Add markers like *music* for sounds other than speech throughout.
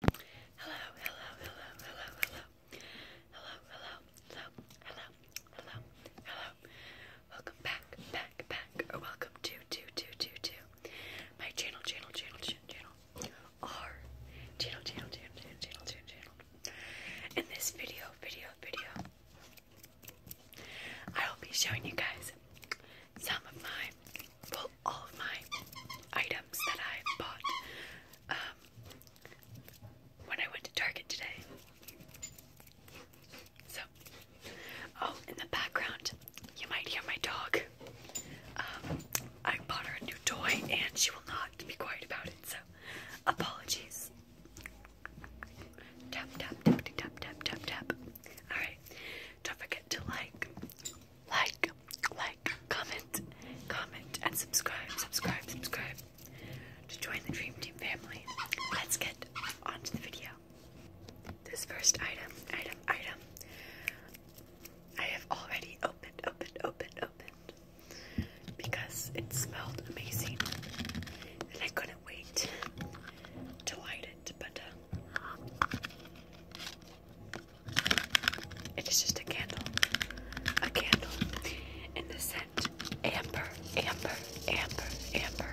Hello, hello, hello, hello, hello. Hello, hello, hello, hello, hello, hello. Welcome back, back, back, or welcome to, to, to, to, to my channel, channel, channel, channel, channel, our channel, channel, channel, channel, channel, channel, channel. In this video, video, video, I will be showing you guys some of my pull all of my items that I bought um, when I went to Target today. So, oh, in the background, you might hear my dog. Um, I bought her a new toy and she will not be quiet about it, so apologies. Tap, tap, tap, tap, tap, tap, tap. Alright, don't forget to like, like, like, comment, comment, and subscribe, subscribe, subscribe to join the Dream Team family. Let's get on the video. This first item, item, item, I have already opened, opened, opened, opened because it smelled amazing and I couldn't wait to light it, but uh, it is just a candle. A candle in the scent Amber, Amber, Amber, Amber.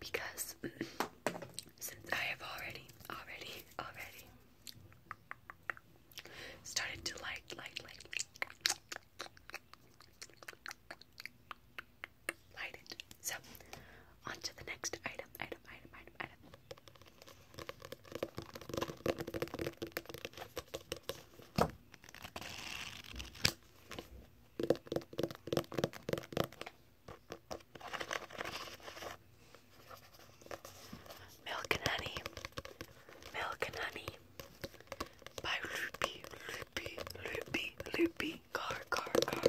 Because since I have already, already, already started to like, like, like, light it. So, on to the next item, item, item, item, item. Milk and Honey, Milk and Honey by Loopy, Loopy, Loopy, Loopy, Car, Car, Car.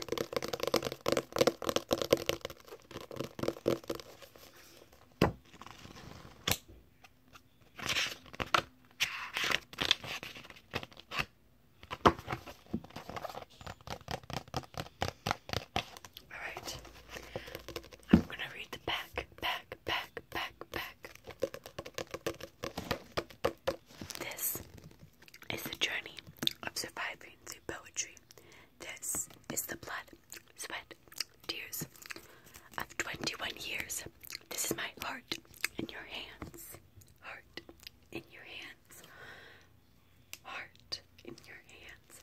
Alright. I'm gonna read the back, back, back, back, back. This is the journey of surviving through poetry. This is the blood, sweat, tears of 21 years. This is my heart in your hands. Heart in your hands. Heart in your hands.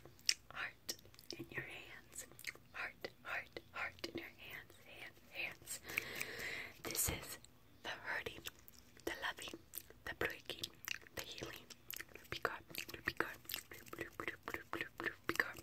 Heart in your hands. Heart, heart, heart in your hands. Hands, hands. This is the hurting, the loving, the breaking, the healing. Ruby God, Ruby God, Ruby God.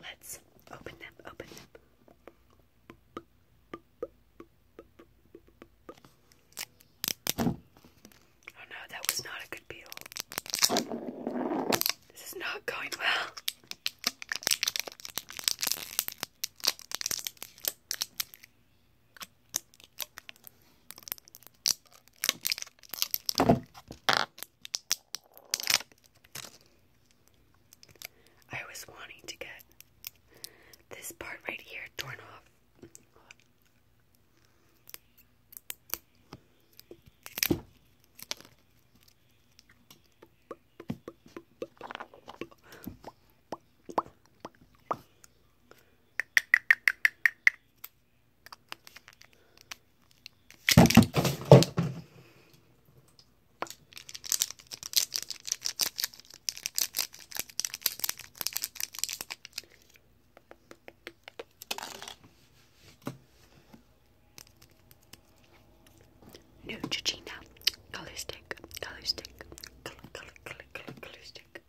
Let's open them, open them. Oh no, that was not a good peel. This is not going well. I was wanting to get this part right here torn off. New no, Georgina color stick, color stick, color, color, color, color, color stick.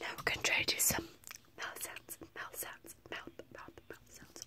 Now we're going to try to do some mouth sounds, mouth sounds, mouth, mouth, mouth sounds.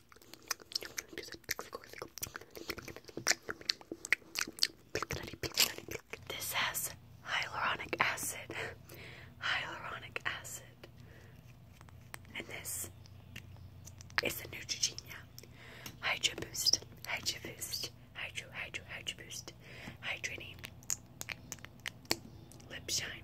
This has hyaluronic acid, hyaluronic acid, and this is a Neutrogena Hydro Boost, Hydro Boost, Hydro, Hydro, Hydro Boost, Hydrating Lip Shine.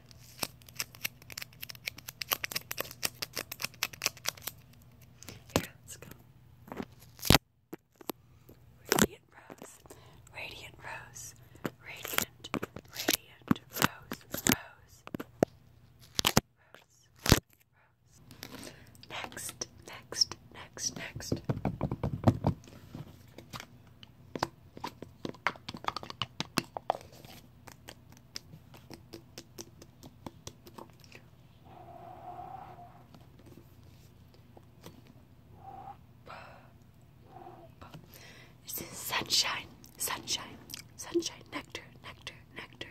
Here, let's go. Radiant Rose, Radiant Rose, Radiant, Radiant Rose, Rose, Rose, Rose. Next, next, next, next. This is sunshine, sunshine, sunshine, nectar, nectar, nectar,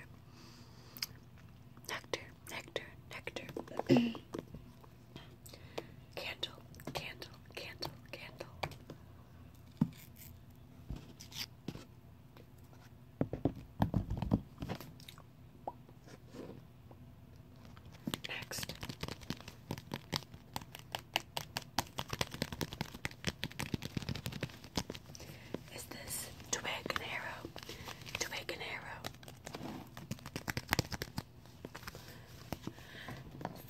nectar, nectar, nectar. *clears throat* candle, candle, candle, candle. Next. Is this twig and arrow? Twig and arrow.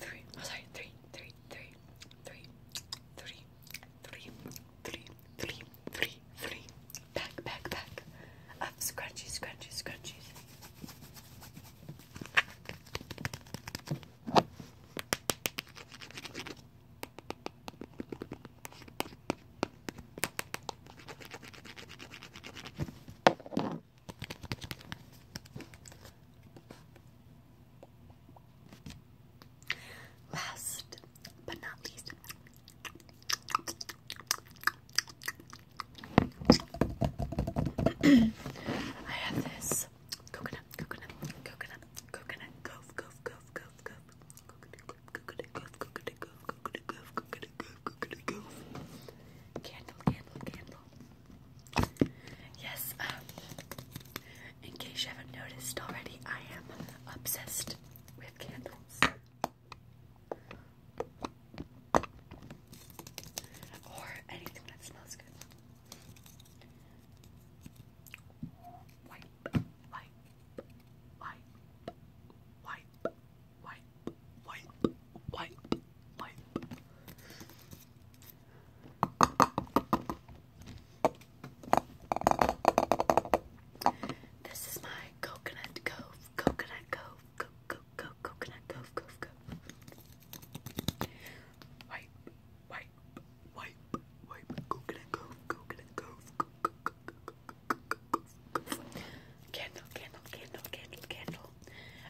Three. Oh, sorry. Three, three, three, three, three, three, three, three, three, three, pack, pack, pack of scrunchies, scrunchies, scrunchies. Last but not least, *clears throat* I have this coconut, coconut, coconut, coconut, goof, goof, goof, goof, goof, coconut, coconut, goof, coconut, goof, coconut, goof, coconut, goof, coconut, goof, candle, candle, candle. Yes, um, in case you haven't noticed already, I am obsessed with candles. Or anything that smells good. Wipe, wipe, wipe, wipe, wipe, wipe, wipe, wipe. This is my coconut cove, coconut cove, go go go coconut cove, cove cove. Wipe, wipe, wipe, wipe, coconut cove, coconut cove, go go go go go go go. Candle, candle, candle, candle, candle.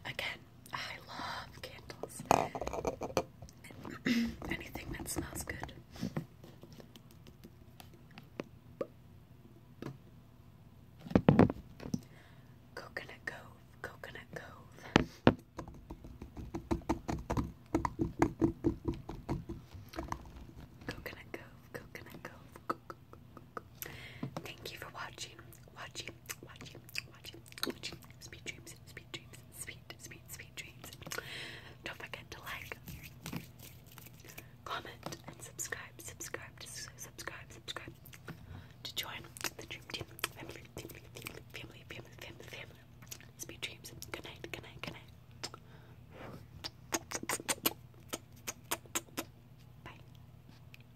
Again, I love candles. *clears throat* Anything that smells good. Coconut Cove, Coconut Cove. Coconut Cove, Coconut Cove. Thank you for watching, watching, watching, watching. Sweet dreams, sweet dreams, sweet, sweet, sweet dreams. Don't forget to like, comment, and subscribe, subscribe, subscribe, subscribe. To join the dream team, family, family, family, family. Sweet dreams. Good night, good night, good night. Bye.